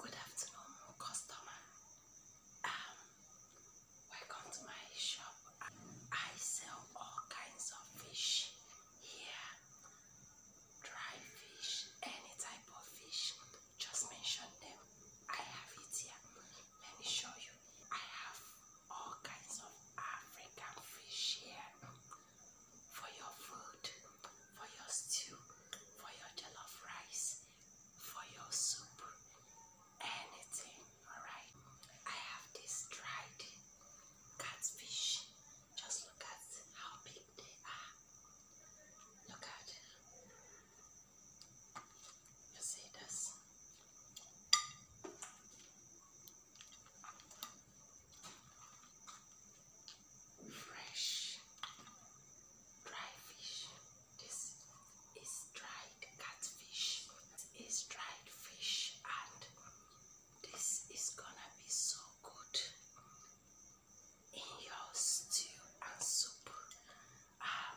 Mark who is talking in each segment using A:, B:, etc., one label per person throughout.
A: Good afternoon, customer. Um, welcome to my shop. I sell all kinds of fish here. Dry fish, any type of fish. Just mention them. I have it here. Let me show you. I have all kinds of African fish here for your food, for your stew, for your jollof rice, for your soup, anything, alright? I have this dried catfish. Just look at how big they are. Look at it. You see this? fresh dry fish. This is dried catfish. This is dried fish and this is gonna be so good in your stew and soup. Um,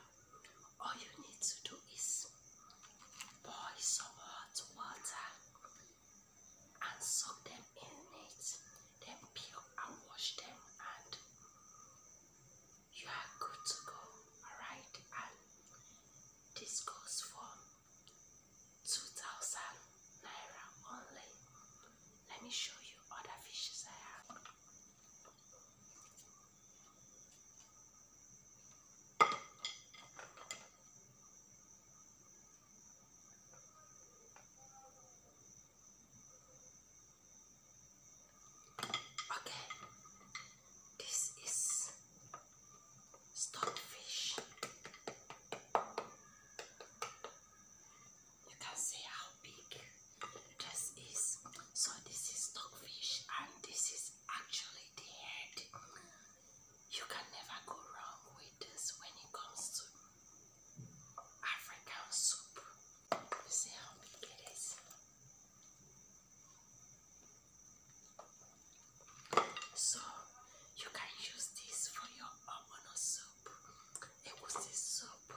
A: all you need to do is boil some hot water and soak them in it, then peel and wash them, and you are good to go. Alright, and this goes for 2000 naira only. Let me show you other fishes I have. Okay, this is stockfish. You can see how big this is. So, this is stockfish, and this is actually the head. You can never go wrong with this when it comes to African soup. You see how big it is? So, you can use this for your obono soup, egusi soup,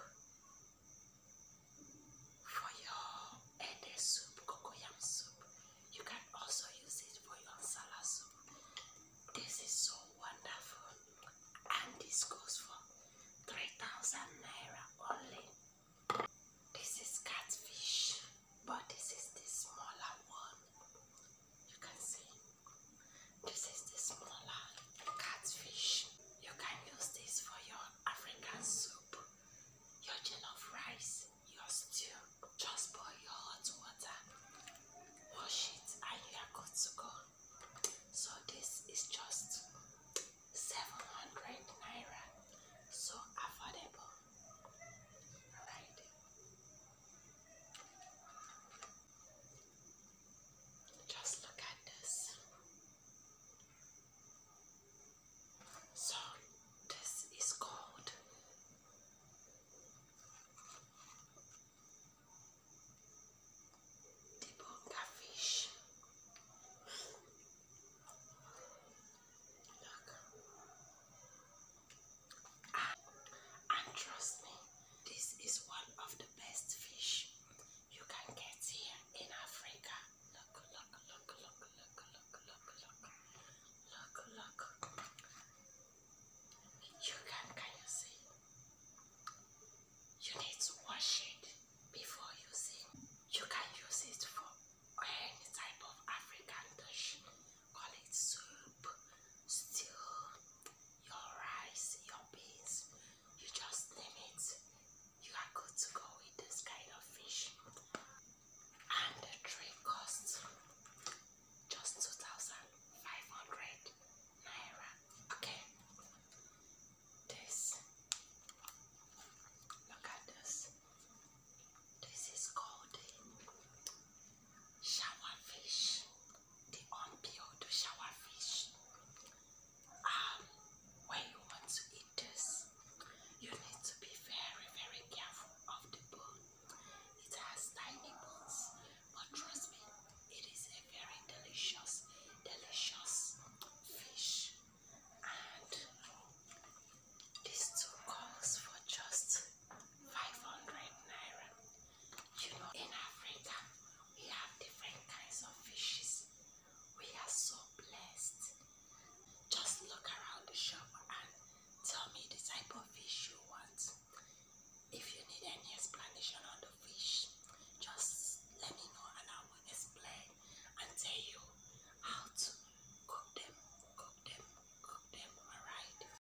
A: for your and a soup, cocoyam soup. You can also use it for your salad soup. This is so wonderful. And this goes for 3000 naira only. This is catfish, but this is the smaller one. You can see. This is the smaller catfish. You can use this for your African soup your tin of rice, your stew. Just boil your hot water, wash it, and you are good to go. So this is just 700 naira. So affordable. Alright. Just look at this. So this is called the bunga Look. Ah, and trust me, this is one of the best fish you can get here in Africa. Look, look, look, look, look, look, look, look, look, look. You can, can you see? You need to wash it before using. You can use it for any type of African dish. Call it soup, stew, your rice, your beans you just name it you are good to go with this kind of fish and the tray costs just 2500 naira okay this look at this this is called shawarma fish the unpeeled shower fish. Um, when you want to eat this, you need to be very, very careful of the bone. It has tiny bones, but trust me, it is a very delicious, delicious fish. And these two comes for just 500 naira. You know, in Africa, we have different kinds of fishes. We are so blessed. Just look around the shop and tell me the type of fish you want. If you need any explanation on the fish, just let me know and I will explain and tell you how to cook them, cook them, cook them, alright?